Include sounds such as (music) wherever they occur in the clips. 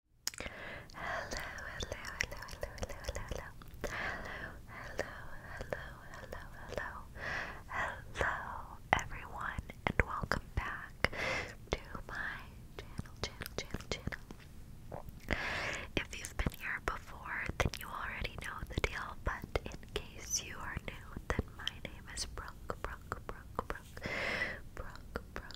hello, hello, hello, hello, hello, hello, hello, hello, hello, hello, hello, everyone, and welcome back to my channel, channel, channel, channel. If you've been here before, then you already know the deal, but in case you are new, then my name is Brooke, Brooke, Brooke, Brooke, Brooke, Brooke,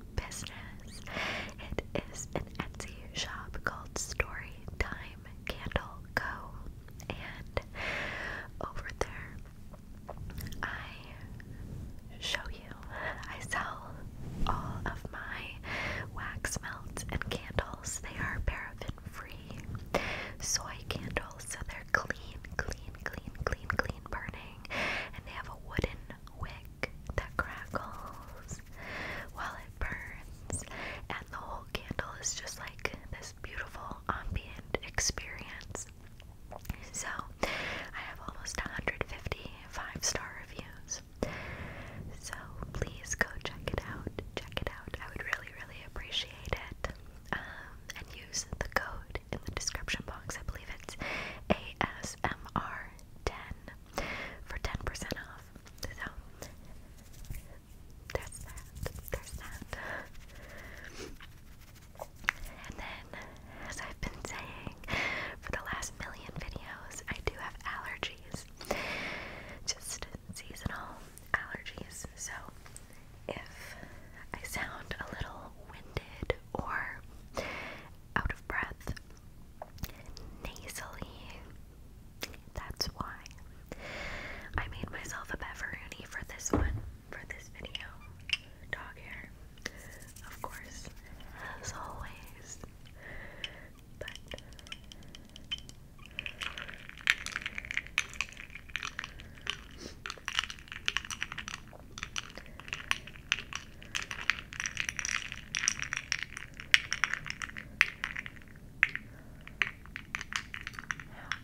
business. It is an Etsy shop called Story Time Candle Co. And over there, I show you, I sell all of my wax melts and candles. They are paraffin free soy candles, so they're clean, clean, clean, clean, clean burning. And they have a wooden wick that crackles while it burns, and the whole candle is just like this beautiful ambient experience. So, I have almost one hundred fifty five star reviews. So, please go check it out. Check it out. I would really, really appreciate it. Um, and use the code in the description box. I believe it's ASMR 10 for 10% off. So there's that. There's that. And then, as I've been saying for the last million videos, I do have allergies. Just seasonal allergies. So if I sound a little winded or out of breath, nasally. That's why I made myself a pepperoni for this one, for this video. Dog hair, of course, as always. But how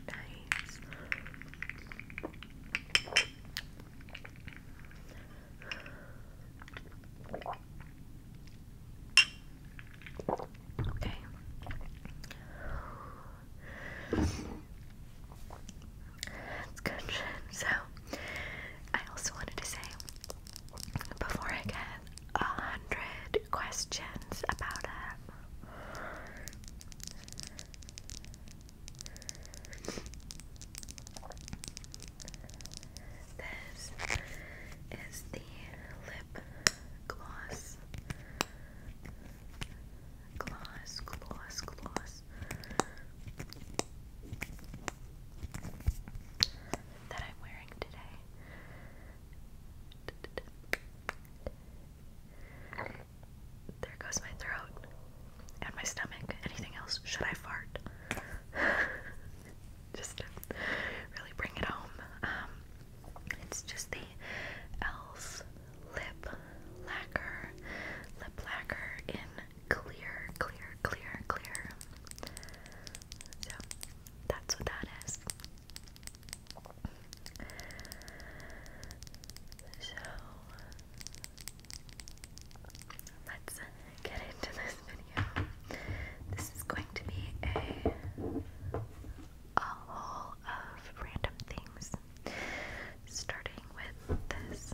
nice. Okay. It's good So, I also wanted to say before I get a hundred questions about it, this is the lip gloss. Gloss, gloss, gloss, that I'm wearing today. There goes my throat and my stomach. Anything else? Should I fart? (laughs) just really bring it home. Um, it's just the Elf Lip Lacquer, Lip Lacquer in clear, clear, clear, clear. So that's what that is. So let's get into this video. This is going to be a haul of random things, starting with this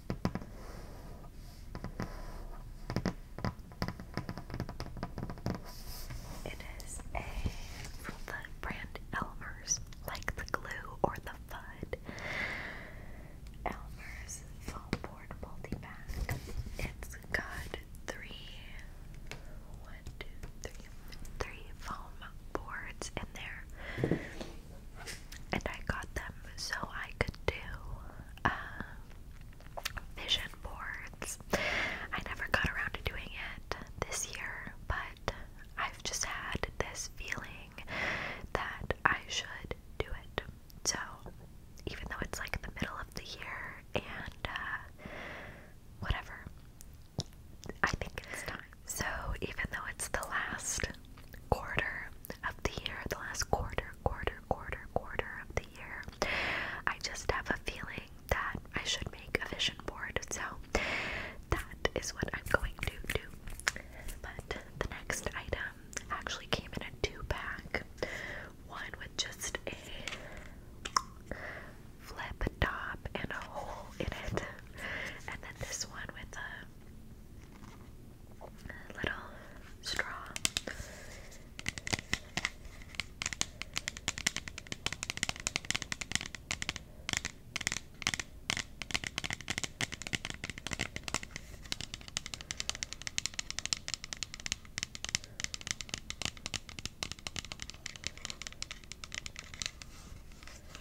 It is a the brand Elmer's, like the glue or the FUD. Elmer's foam board multi pack. It's got three, one, two, three, three foam boards in there and I got them so I could do uh, vision boards. I never got around to doing it this year, but I've just had this feeling that I should do it. So, even though it's like the middle of the year and uh, whatever, I think it's time. So, even though it's the last quarter of the year, the last quarter, quarter, quarter, quarter of the year. I just have a feeling that I should make a vision board, so that is what I'm going to do. But the next item actually came in a two pack one with just a flip top and a hole in it, and then this one with a little straw.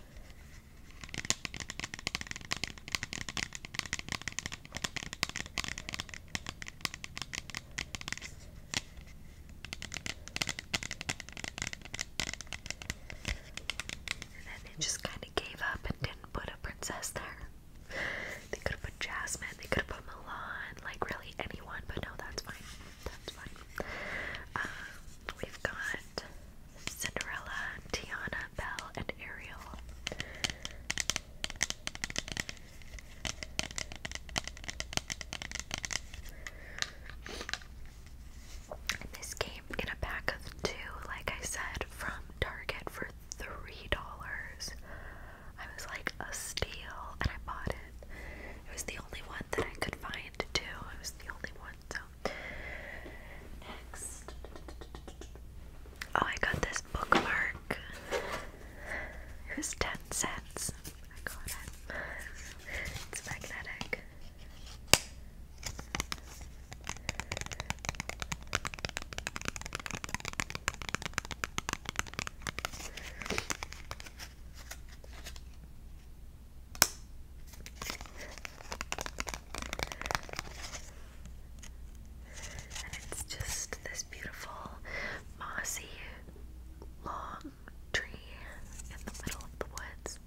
And then they just kind of gave up and didn't put a princess there. They could have put Jasmine, they could have put Milan, like really anyone, but no, that's fine. That's fine. Um, we've got Cinderella, Tiana, Belle, and Ariel. this came in a pack of two, like I said, from Target for three dollars. I was like a steal, and I bought it. It was the only one that I could find too. It was the only one, Next. Oh, I got this bookmark. It was 10 cents. I got it. It's magnetic. And it's just this beautiful mossy long tree in the middle of the woods.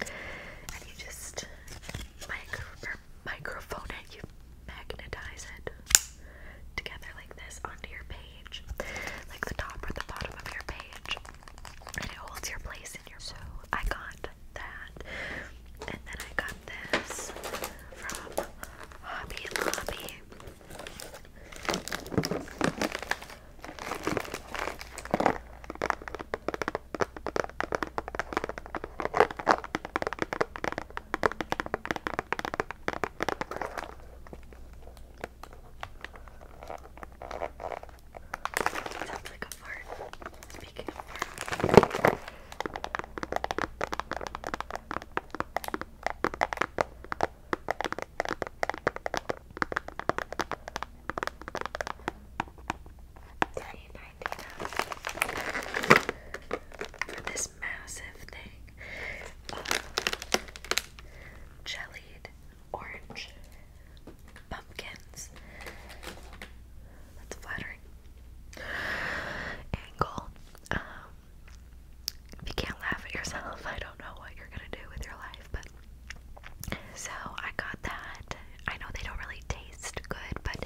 And you just microphone it, you magnetize it together like this onto your page, like the top or the bottom of your page. And it holds your place in your so I got that and then I got this from Hobby Lobby. Sounds of speaking of fart. dollars for this massive thing of jellied orange pumpkins. That's flattering. Angle. Um, if you can't laugh at yourself, (laughs) I don't know what you're gonna do with your life, but so I got that. I know they don't really taste good, but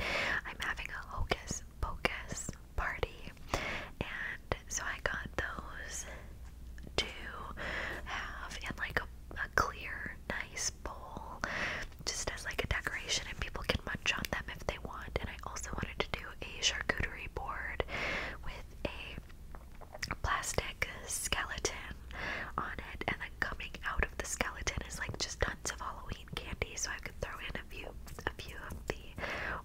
I'm having a hocus pocus party, and so I got those to have in like a clear, nice just as like a decoration and people can munch on them if they want. And I also wanted to do a charcuterie board with a plastic skeleton on it and then coming out of the skeleton is like just tons of Halloween candy so I could throw in a few a few of the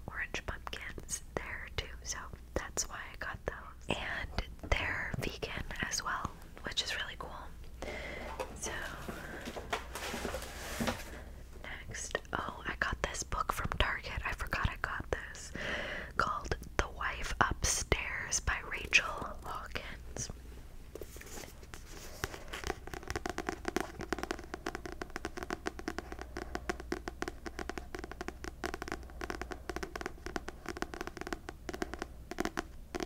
orange pumpkins there too. So that's why I got those. And they're vegan as well, which is really cool. So next, oh, I got this book from Target. I forgot I got this. Called The Wife Upstairs by Rachel Hawkins. It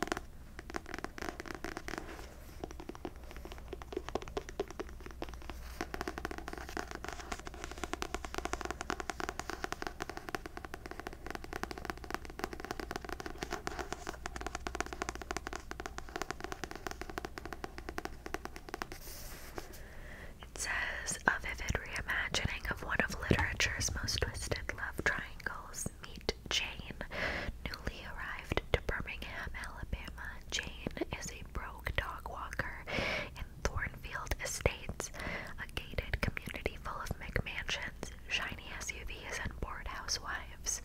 says a vivid reimagining of one of literature's most twisted love triangles. Meet named Jane, newly arrived to Birmingham, Alabama. Jane is a broke dog walker in Thornfield Estates, a gated community full of McMansions, shiny SUVs, and bored housewives.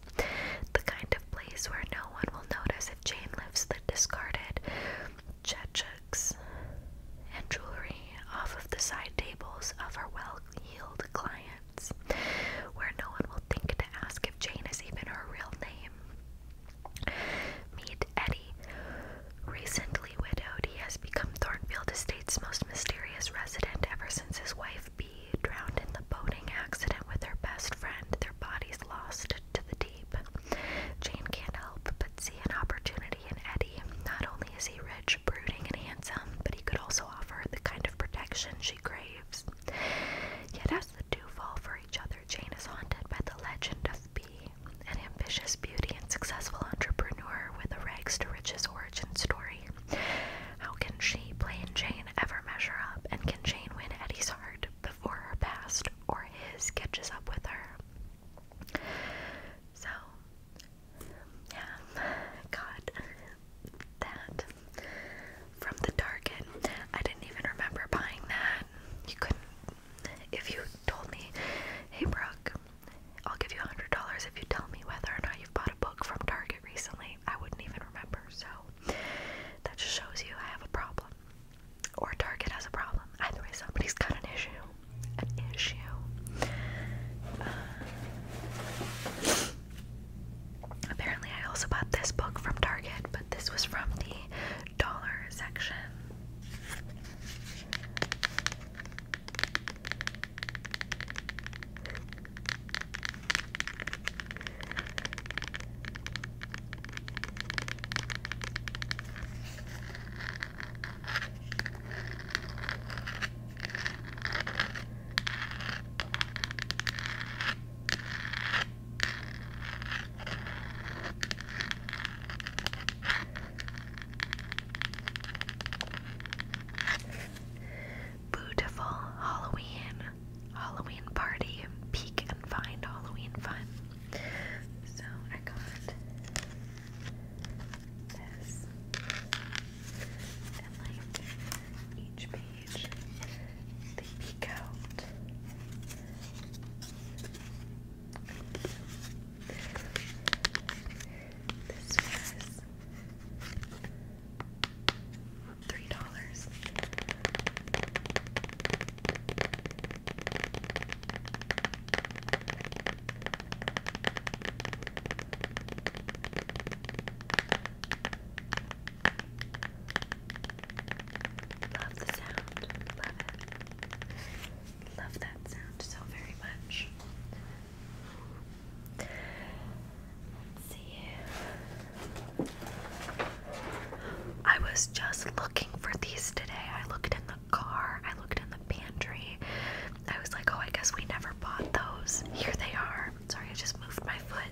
The kind of place where no one will notice if Jane lifts the discarded checheks and jewelry off of the side tables of her well heeled clients where no one will think to ask if Jane is even her real name. Meet Eddie. Recently widowed, he has become Thornfield Estate's most mysterious resident ever since his wife B drowned in the boating accident with her best friend, their bodies lost to the deep. Jane can't help but see an opportunity in Eddie. Not only is he rich, brooding, and handsome, but he could also offer the kind of protection she craves. Yet, as the two fall for each other, Jane is haunted by the legend of B, an ambitious beauty and successful entrepreneur with a rags to riches origin story. How can she, plain Jane, ever measure up? And can Jane win Eddie's heart before her past or his catches up with her? So, yeah, God, that from the Target. I didn't even remember buying that. You couldn't. If you told me, hey Brooke, I'll give you a $100 if you tell me whether or not you've bought a book from Target recently, I wouldn't even remember. So that just shows you I have a problem. Or Target has a problem. Either way, somebody's got an issue. An issue. Uh, Apparently, I also bought this book from Target, but this was from the dollar section. Beautiful Halloween, Halloween party, peek and find Halloween fun. So I got this, and like each page page. They three dollars. Love the sound. Love it. Love that sound so very much. Let's I was just looking for these today. I looked in the car, I looked in the pantry. I was like, oh, I guess we never bought those. Here they are. Sorry, I just moved my foot.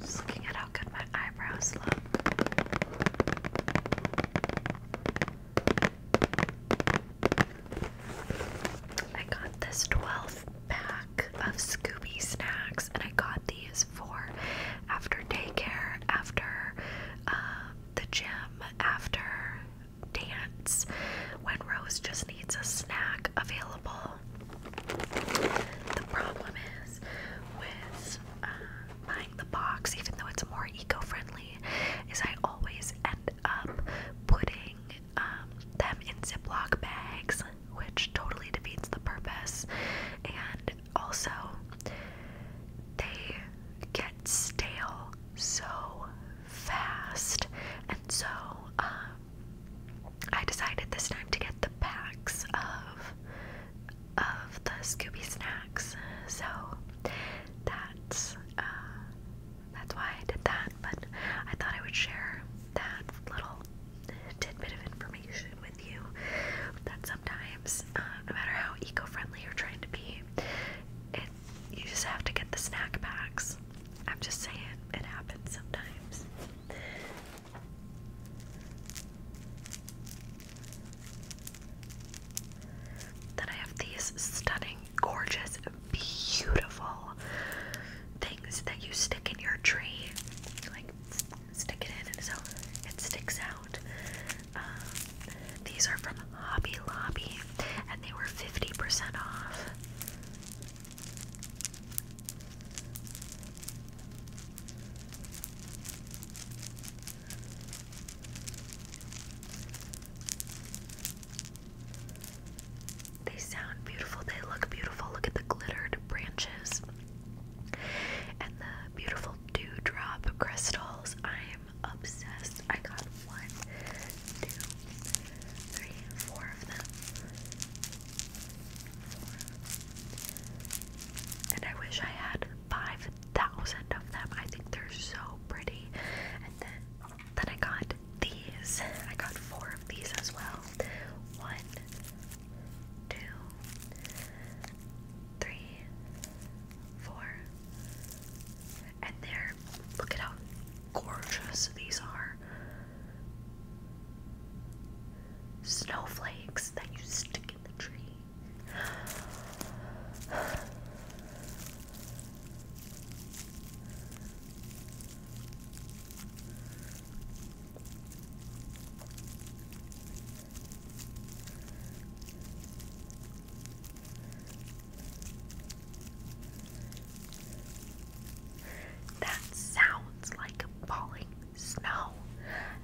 Just looking at how good my eyebrows look. I got this 12 pack of Scooby snacks, and I got these for after daycare, after uh, the gym, after dance, when Rose just needs a snack available the problem is with uh, buying the box, even though it's more eco-friendly, is I always end up putting um, them in Ziploc bags, which totally defeats the purpose. And also, they get stale so fast, and so um, I decided this time to get the packs of of the Scooby snacks. So that's uh, that's why I did that. But I thought I would share that little tidbit of information with you. That sometimes, uh, no matter how eco-friendly you're trying to be, it you just have to get the snack packs. I'm just saying, it happens sometimes. Then I have these stunning, gorgeous, beautiful things that you stick in your tree. Like, stick it in, so it sticks out. Um, these are from Hobby Lobby, and they were 50% off. They sound beautiful, they look beautiful. Look at the glittered branches and the beautiful dewdrop crystals. I'm obsessed. I got one, two, three, four of them. And I wish I had 5,000 of them. I think they're so pretty. And then, then I got these. I got four of these as well. One, two, three, four. And they're, look at how gorgeous these are. Snowflakes that you stick that sounds like a falling snow,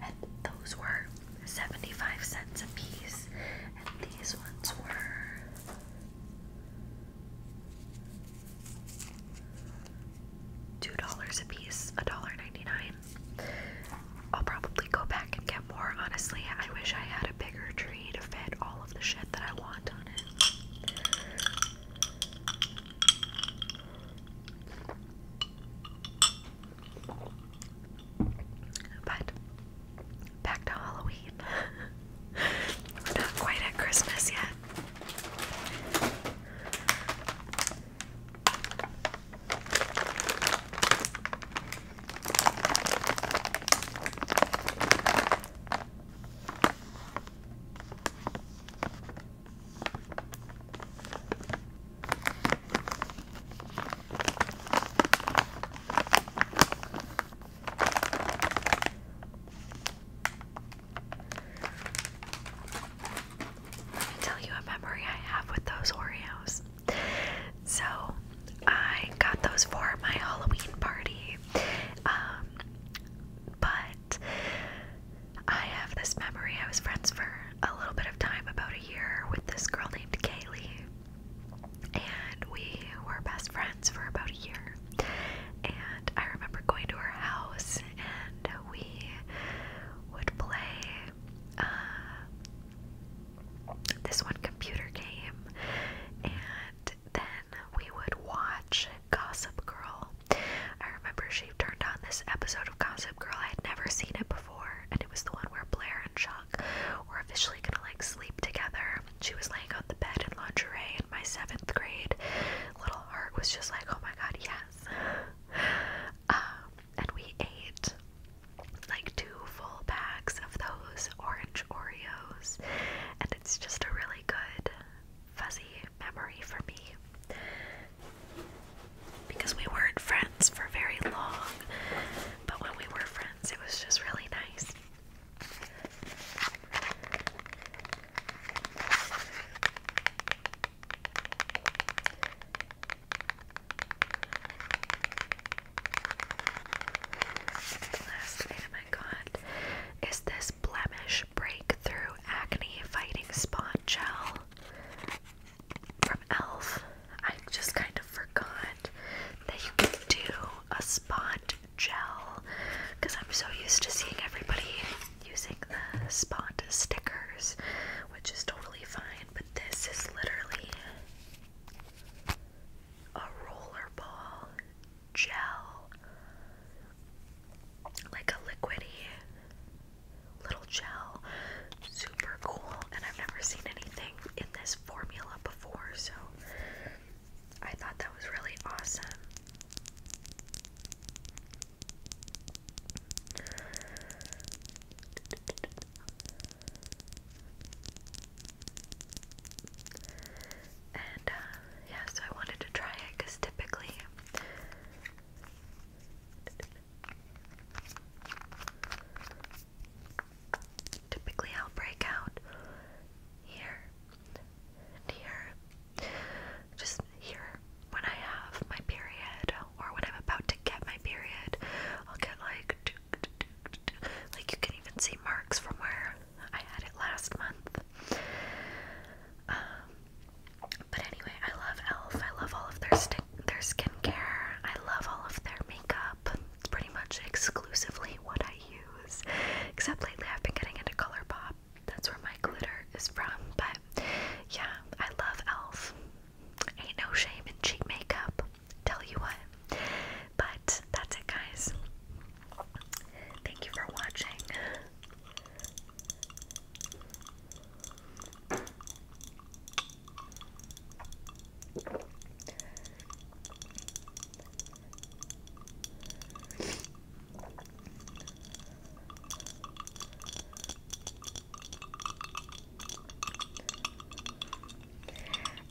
and those were 75 cents a piece, and these ones were. Two dollars a piece, a dollar ninety-nine. I'll probably go back and get more. Honestly, I wish I had a bigger tree to fit all of the shit that I want on it. But back to Halloween. We're (laughs) not quite at Christmas yet. Let me tell you a memory I have with those Oreos. So, I got those for my Halloween party, um, but I have this memory. I was friends for a little bit of time, about a year, with this girl named Kaylee. And we were best friends for about a year. And I remember going to her house, and we would play uh, this one computer game. And then we would watch Gossip Girl. I remember she turned on this episode of Gossip Girl. I had never seen it before, and it was the one where Blair and Chuck were officially gonna like sleep together. She was laying on the bed in lingerie and my seventh grade. Little heart was just like, oh my god, yes. (laughs) Um, and we ate like two full packs of those orange Oreos, and it's just a really good fuzzy memory for me because we weren't friends for very long, but when we were friends, it was just really nice. Last item I got is this blemish breakthrough acne fighting spot gel from Elf. I just kind of forgot that you can do a spot gel because I'm so used to seeing everybody using the spot stickers, which is totally fine. But this is literally a rollerball gel, like a liquidy little gel. Super cool, and I've never seen anything in this formula before, so I thought that was really awesome. And uh, yeah, so I wanted to try it because typically Typically, I'll break out here here. Just here when I have my period or when I'm about to get my period. I'll get like. Like, you can even see marks from where I had it last month. Um, but anyway, I love e.l.f., I love all of their stuff their skincare. I love all of their makeup. It's pretty much exclusively what I use. Except lately, I've been getting into ColourPop. That's where my glitter is from. But yeah, I love Elf. Ain't no shame in cheap makeup. Tell you what. But that's it, guys. Thank you for watching.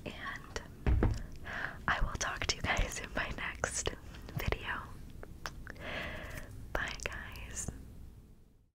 And I will talk to you guys in my next video. Bye, guys.